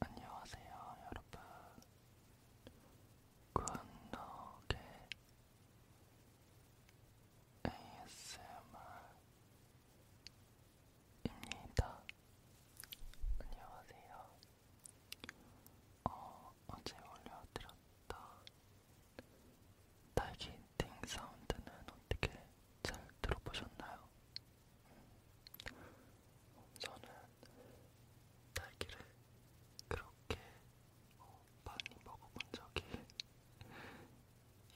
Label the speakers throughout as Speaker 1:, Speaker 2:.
Speaker 1: 안녕하세요, 여러분. 굿노게 ASMR입니다. 안녕하세요. 어, 어제 올려드렸던 딸기 띵 사운드는 어떻게 잘 들어보셨나요? 저는 딸기를 그렇게 어, 많이 먹어본 적이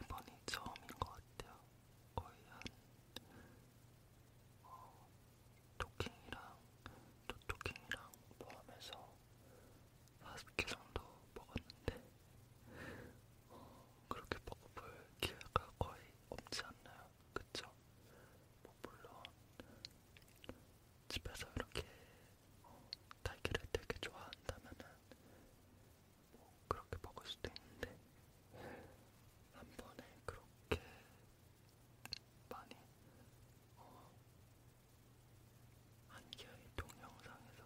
Speaker 1: 이번이 처음인 것 같아요. 거의 한 어, 토킹이랑 또 토킹이랑 포함해서 40개 정도 먹었는데 어, 그렇게 먹어볼 기회가 거의 없지 않나요? 그쵸? 뭐 물론 집에서 이렇게 어, 달걀을 되게 좋아한다면은 뭐 그렇게 먹을 수도 있는데 한 번에 그렇게 많이 어, 한개의 동영상에서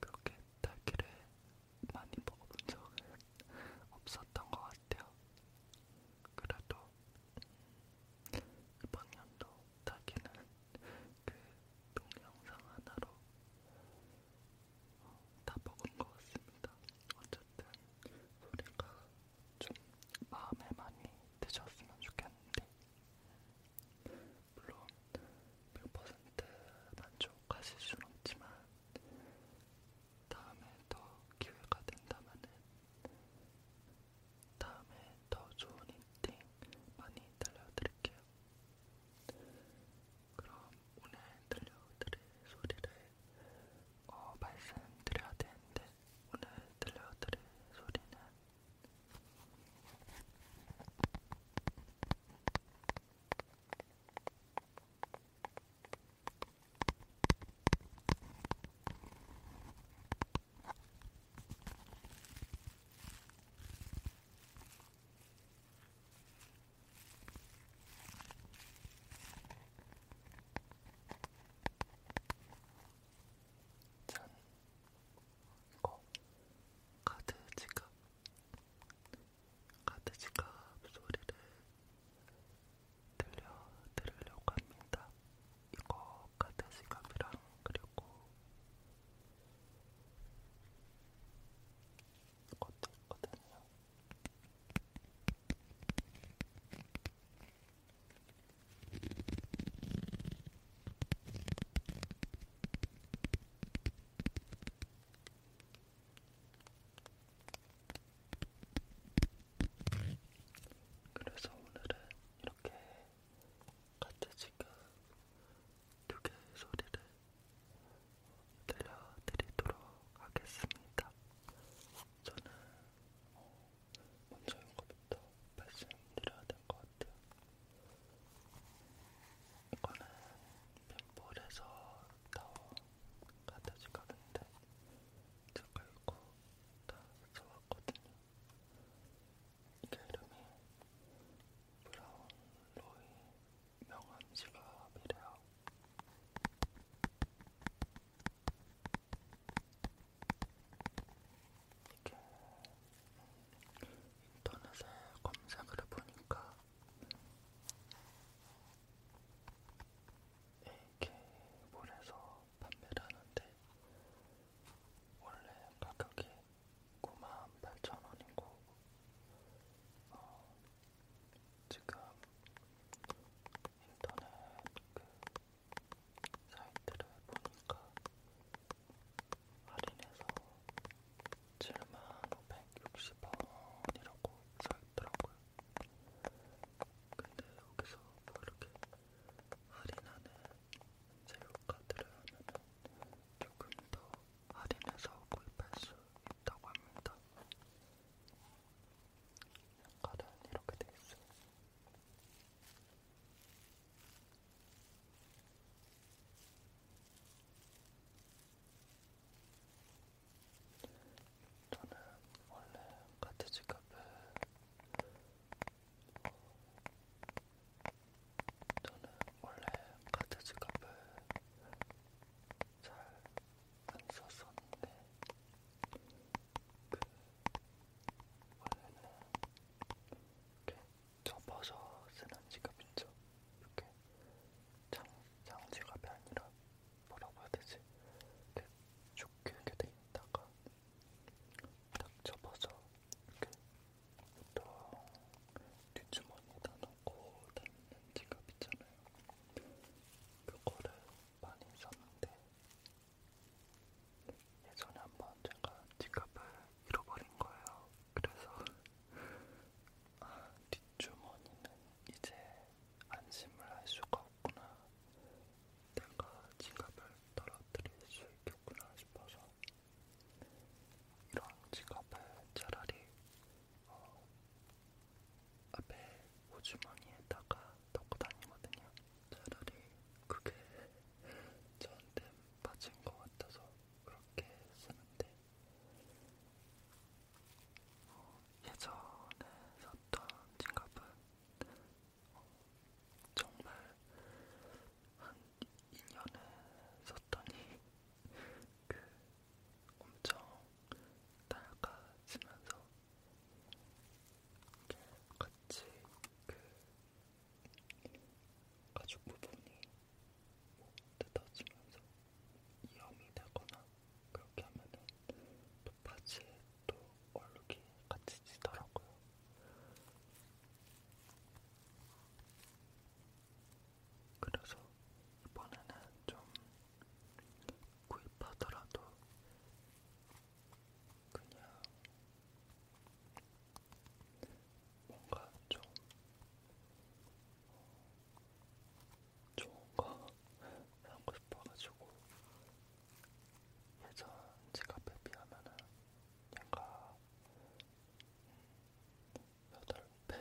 Speaker 1: 그렇게 달걀에 많이 먹어본 적은 없었던 것 같아요. 그래도 이번 연도 자기는 그 동영상 하나로 어, 다 먹은 것 같습니다. 어쨌든 소리가 좀 마음에 많이 드셨으면 좋겠는데 물론 100% 만족 가실 순 없지만 다음에 더 기회가 된다면은 다음에 더 좋은 인팅 많이 들려드릴게요. 그럼 오늘 들려드릴 소리를 어, 말씀드려야 되는데 오늘 들려드릴 소리는 짠! 이거 카드 지갑 카드 지갑 소리를 들려드리려고 합니다. 이거 카드 지갑이랑 그리고 이것도 있거든요. 그래서 오늘은 이렇게 같이 지금 두 개의 소리를 들려드리도록 하겠습니다. 저는 어, 먼저 이거부터 말씀드려야 될 것 같아요. 이거는 빈볼에서 나온 같아진 가는데 제가 이거 다 써왔거든요. 이게 이름이 브라운 로이 명함 지갑이래요. 이게 인터넷에 검색을 해보니까 AK몰에서 판매를 하는데 원래 가격이 98,000원이고 어, 지금 인터넷 그 사이트를 보니까 할인해서 7만 560원이라고 써있더라고요. 근데 여기서 뭐 이렇게 할인하는 세일카드를 하면 조금 더 할인해서 구입할 수 있다고 합니다. 카드는 이렇게 돼 있어요. 저는 원래 카트지 카페 어, 저는 원래 카트지 카페 잘안 썼었는데 그 원래는 이렇게 접어서 쓰는 지갑 있죠? 이렇게 장, 장지갑이 아니라 뭐라고 해야 되지? 이렇게 쭉 길게 돼 있다가 딱 접어서 이렇게 보통 뒷주머니에다 넣고 다니는 지갑 있잖아요. 그거를 많이 썼는데 예전에 한번 제가 지갑을 잃어버린 거예요. 그래서 아, 뒷주머니는 이제 안심을 할 수가 없구나. 내가 지갑을 떨어뜨릴 수 있겠구나 싶어서 이런 지갑을 차라리 어, 앞에 호주머니에다가 넣고 다니거든요. 차라리 그게 저한테 빠진 것 같아서 그렇게 쓰는데 어, 예전에 샀던 지갑은 어, 정말 한 2년을 썼더니 그 엄청 낡아지면서 이게 같이 그 가죽 부분이 뭐 뜯어지면서 이염이 되거나 그렇게 하면은 바지에 또 얼룩이 같이 지더라고요. 그래서 이번에는 좀 구입하더라도 그냥 뭔가 좀 어, 좋은 거 사고 싶어가지고 예전 지갑에 비하면은 약간 여덟 음, 배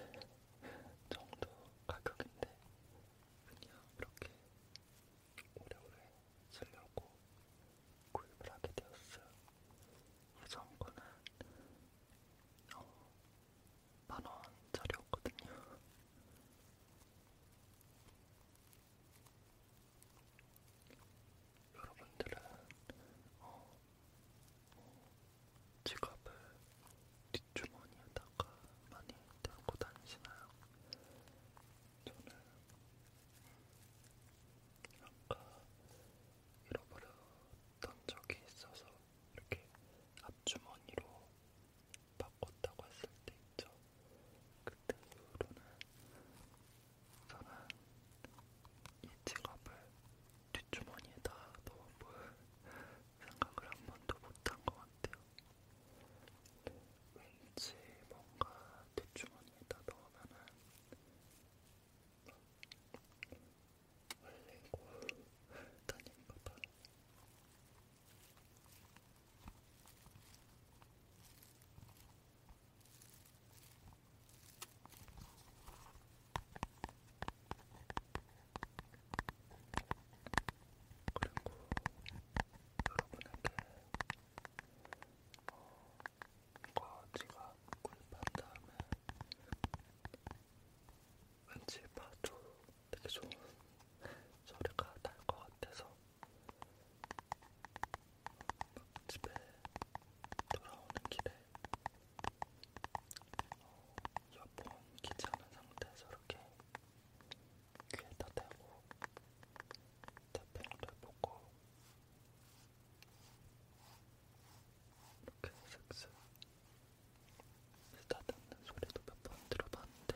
Speaker 1: 정도 가격인데 그냥 이렇게 오래오래 쓰려고 구입을 하게 되었어요. 예전 거는 어, 만원짜리였거든요. 여러분들은 어, 어, 지갑을 뒷주머니에다가 많이 들고 다니시나요? 저는 아까 잃어버렸던 적이 있어서 이렇게 앞주머니로 바꿨다고 했을 때 있죠. 그때 이후로는 저는 이 직업을 뒷주머니에다 넣어볼 생각을 한 번도 못한 것 같아요. 왠지 뭔가 뒷주머니에다 넣으면은 흘리고 다닌 것같 그리고 여러분에게 어, 이거 제가 구입한 다음에 왠지 봐도 되게 좋은 소리가 날 것 같아서 집에 돌아오는 길에 어, 이어폰 끼지 않은 상태에서 이렇게 귀에다 대고 태핑을 보고 이렇게 슥슥 쓰다듬는 소리도 몇 번 들어봤는데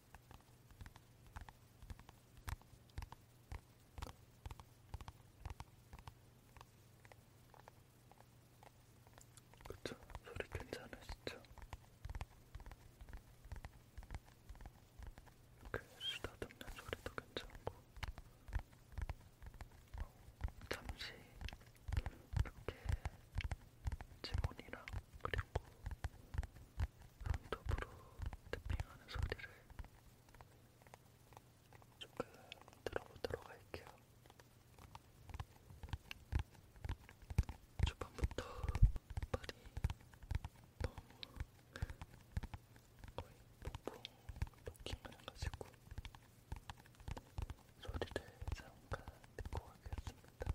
Speaker 1: 그쵸? 소리 괜찮으시죠? 이렇게 쓰다듬는 소리도 괜찮고 어, 잠시 이렇게 지문이랑 그리고 손톱으로 탭핑하는 소리를 조금 들어보도록 할게요. 초반부터 발이 너무 거의 폭풍 토킹을 해가지고 소리를 잠깐 듣고 가겠습니다.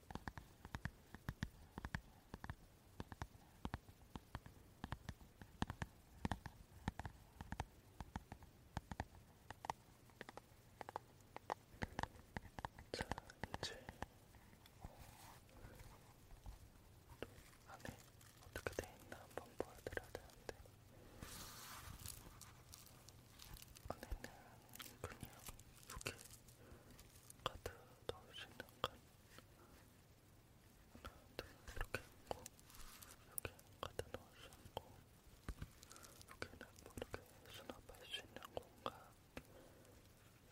Speaker 1: 자, 이제 또 안에 어떻게 돼 있나 한번 보여드려야 되는데 안에는 그냥 이렇게 카드 넣을 수 있는 칸 하나, 둘 이렇게 있고 여기 카드 넣을 수 있고 여기는 뭐 이렇게 수납할 수 있는 공간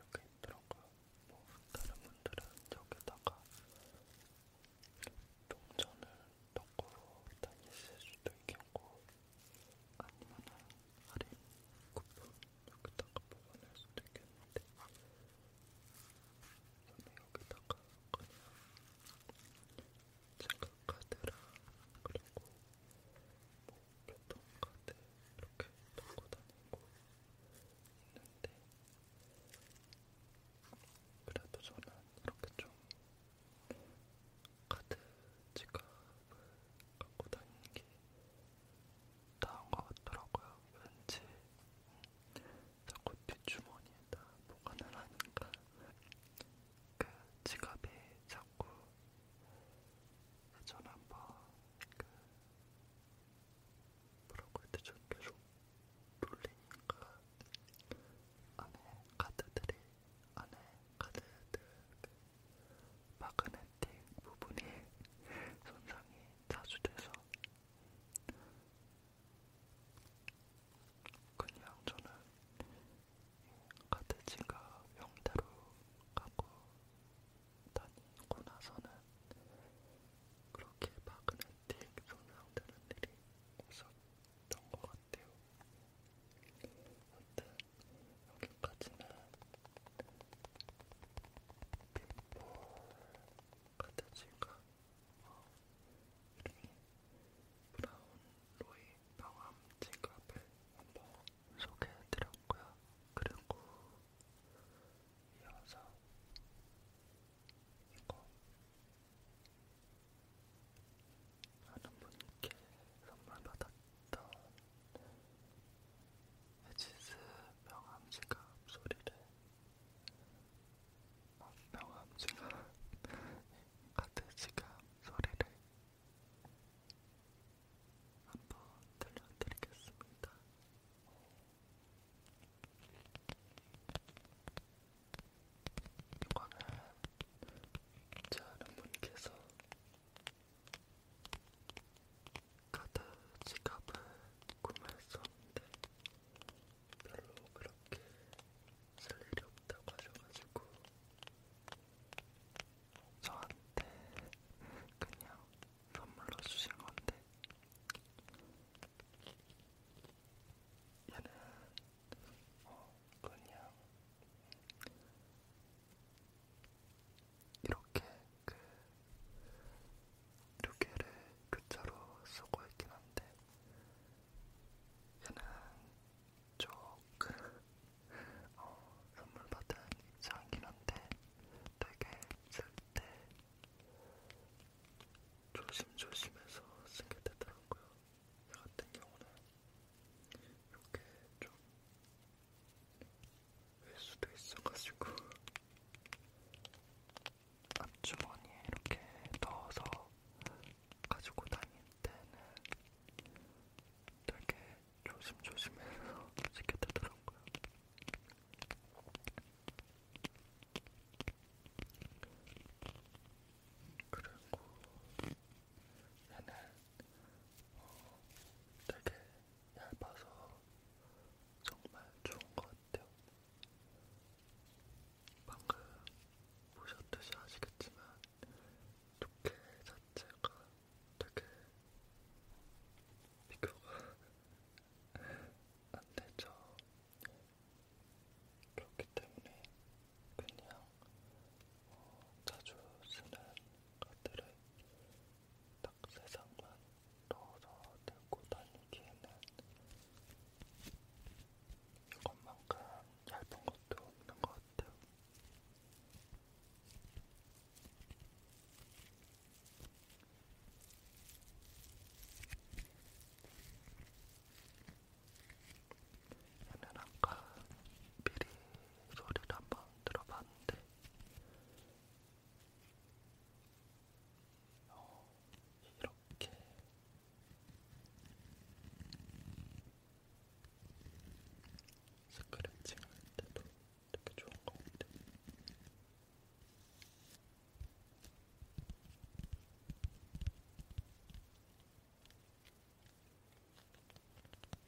Speaker 1: 이렇게 있더라고요 뭐 다른 분들은 여기다가 동전을 넣고 다니실 수도 있겠고 아니면은 할인 쿠폰 여기다가 뽑아낼 수도 있겠는데 저는 여기다가 그냥 체크카드랑 그리고 뭐 교통카드 이렇게 들고 다니고 있는데 그래도 저는 이렇게 좀 카드 지갑 갖고 다니는 게 나은 것 같더라고요. 왠지 자꾸 뒷주머니에다 보관을 하니까 그 지갑이 자꾸 예전에 한번 그 뭐라고 해야 되죠? 계속 돌리니까 안에 카드들이 안에 카드들 그 마그네틱 부분이 손상이 자주 돼서 그냥 저는 같은 지갑 명대로 갖고 다니고 나서는 그렇게 마그네틱 손상되는 일이 없었던 것 같아요. 여튼 여기까지는 빗볼 카트지가 어, 이름이 브라운 로이 방암 지갑을 한번 소개해드렸고요. 그리고 이어서 이거 많은 분께 선물 받았죠. 있던 헤지스 명암지갑 소리를 어, 명암지갑 같은 지갑 소리를 한번 들려드리겠습니다. 이거는 저는 분께서 카드 지갑을 구매했었는데 별로 그렇게 쓸 일이 없다고 하셔가지고 저한테 그냥 선물로 주신 건데 얘는 어 그냥 이렇게 그두 개를 교차로 쓰고 있긴 한데 얘는 조금 어, 선물 받은 입장이긴 한데 되게 쓸 때 조심조심해서 쓰게 되더라고요. 저 같은 경우는 이렇게 좀 수도 있어가지고 앞주머니에 이렇게 넣어서 가지고 다닐 때는 되게 조심조심해서 지게 되더라고요. 그리고 얘는 어 되게 얇아서 정말 좋은 것 같아요. 방금 보셨듯이 아시겠지만 조개 자체가 되게 비교가 안 되죠. 그렇기 때문에 그냥 어, 자주 쓰는 카드를 딱 액세상만 넣어서 들고 다니기에는 이것만큼 얇은 것도 없는 것 같아요. 얘는 아까 미리 소리를 한번 들어봤는데 어, 이렇게 스크래칭 할 때도 되게 좋은 것 같아.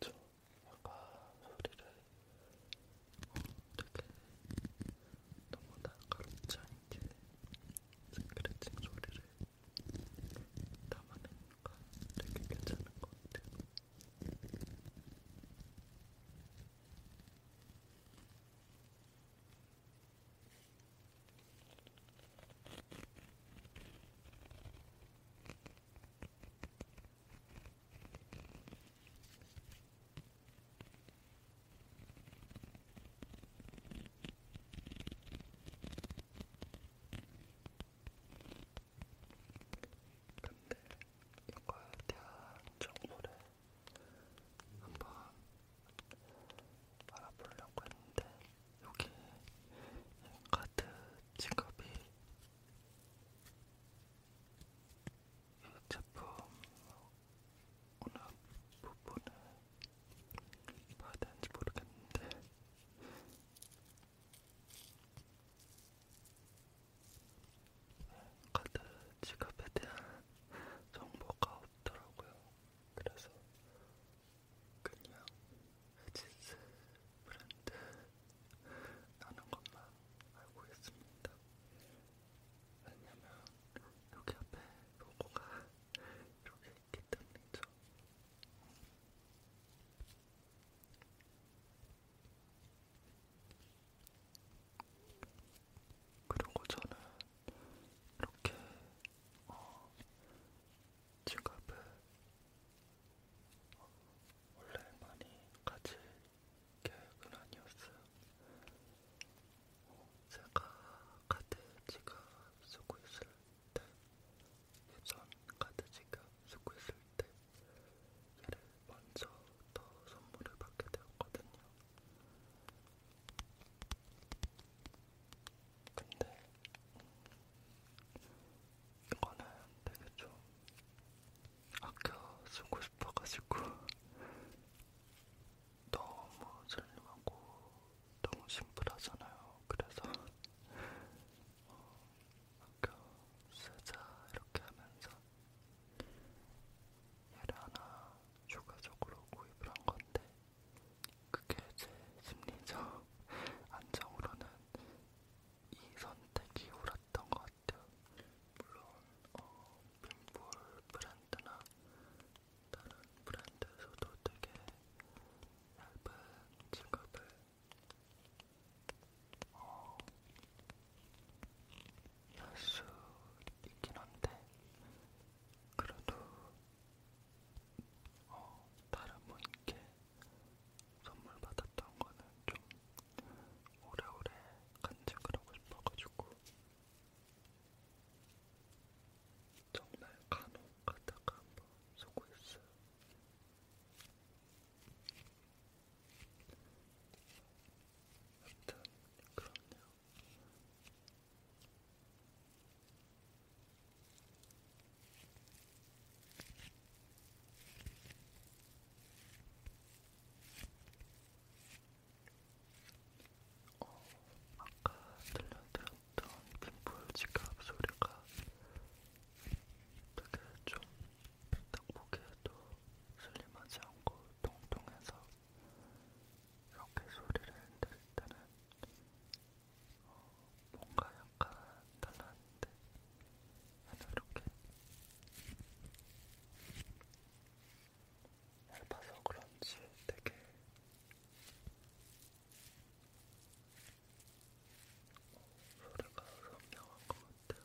Speaker 1: 그쵸? 약간 소리를 되게 너무 날카롭지 않게 스크래칭 소리를 담아내니까 되게 괜찮은 것 같아요. 근데 이거에 대한 정보를 한번 알아보려고 했는데 여기 카드 지갑이 이 제품 어느 부분을 봐야 되는지 모르겠는데 카드 지갑에 대한 정보가 없더라고요. 그래서 그냥 에지스 브랜드 나는 것만 알고 있습니다. 왜냐면 여기 앞에 로고가 이렇게 있기 때문이죠. 그리고 저는 이렇게 어, 지갑을 어, 원래 많이 가질 계획은 아니었어요. 어, 제가 카드 지갑 쓰고 있을 때, 예전 카드 지갑 쓰고 있을 때, 얘를 먼저 더 선물을 받게 되었거든요. 근데 이거는 되게 좀 아껴 쓰고 싶어가지고 너무 슬림하고 너무 심플하잖아요. 그래서 어, 아껴 쓰자 이렇게 하면서 얘를 하나 추가적으로 구입을 한 건데 그게 제 심리적 안정으로는 이 선택이 옳았던 것 같아요. 물론 어, 빈볼 브랜드나 다른 브랜드에서도 되게 얇은 지갑을 어, 할수 있긴 한데 그래도 어, 다른 분께 선물 받았던 거는 좀 오래오래 간직을 하고 싶어가지고 정말 간혹 가다가 한번 쏘고 있어요. 아무튼 그렇네요. 어, 아까 들려드렸던 빈불 지갑 소리가 되게 좀딱 보기에도 슬림하지 않고 통통해서 이렇게 소리를 들을 때는 어, 뭔가 약간 달랐는데 얘는 이렇게 얇아서 그런지 되게 소리가 선명한 것 같아요.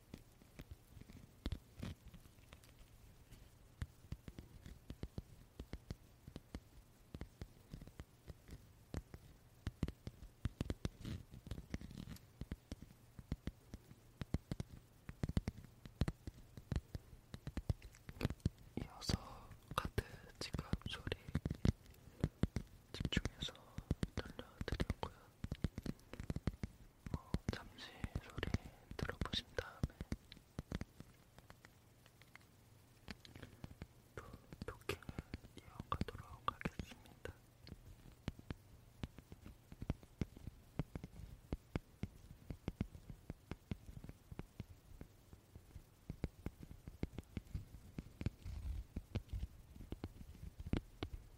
Speaker 1: 이어서 카드 지갑 소리 집중해서 들려드리고요. 어, 잠시 소리 들어보신 다음에 또 토킹을 이어가도록 하겠습니다.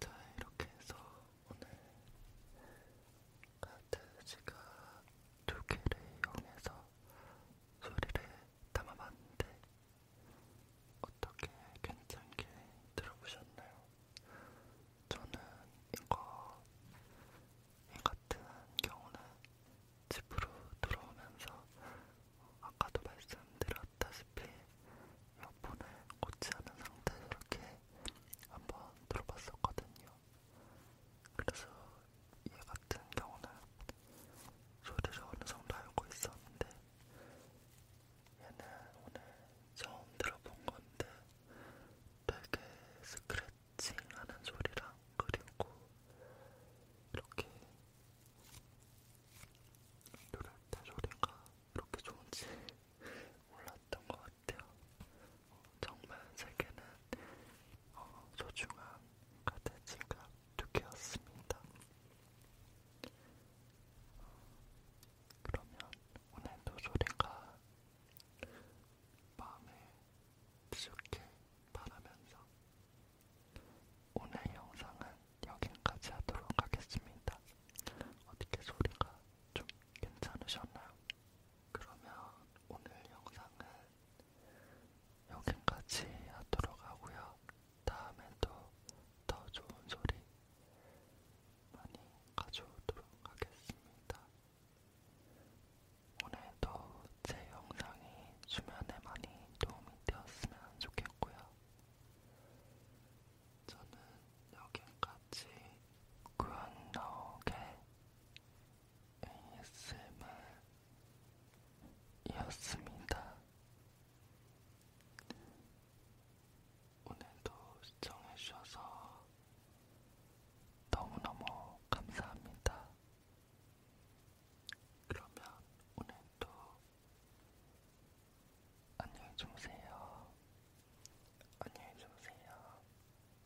Speaker 1: 자, 이렇게 해서 오늘 카드지가 두 개를 이용해서 소리를 담아봤는데 어떻게 괜찮게 들어보셨나요? 저는 이거 이 같은 경우는 집으로 들어오면서 아까도 말씀드렸다시피 이어폰을 꽂지 않은 상태에서 이렇게 한번 들어봤었거든요. 그래서 얘 같은 경우는 소리를 어느 정도 알고 있었는데 얘는 오늘 처음 들어본 건데 되게 스크래칭하는 소리랑 그리고 이렇게 누를 때 소리가 이렇게 좋은지 몰랐던 것 같아요. 어, 정말 세계는 어, 소중한 가대 지갑 두 개였습니다. 그러면 오늘도 소리가 마음에 지속해 바라면서 오늘 영상은 여기까지 하도록 하겠습니다. 어떻게 소리가 좀 괜찮으셨나요? 그러면 오늘 영상은 여기까지 하도록 하고요. 다음에도 더 좋은 소리 많이 가져오도록 하겠습니다. 오늘도 제 영상이 주변에 많이 도움이 되었으면 좋겠고요. 저는 여기까지 구운 너게 ASMR이었습니다. 오늘도 시청해주셔서 너무너무 감사합니다. 그러면 오늘도 안녕히 주무세요. 안녕히 주무세요.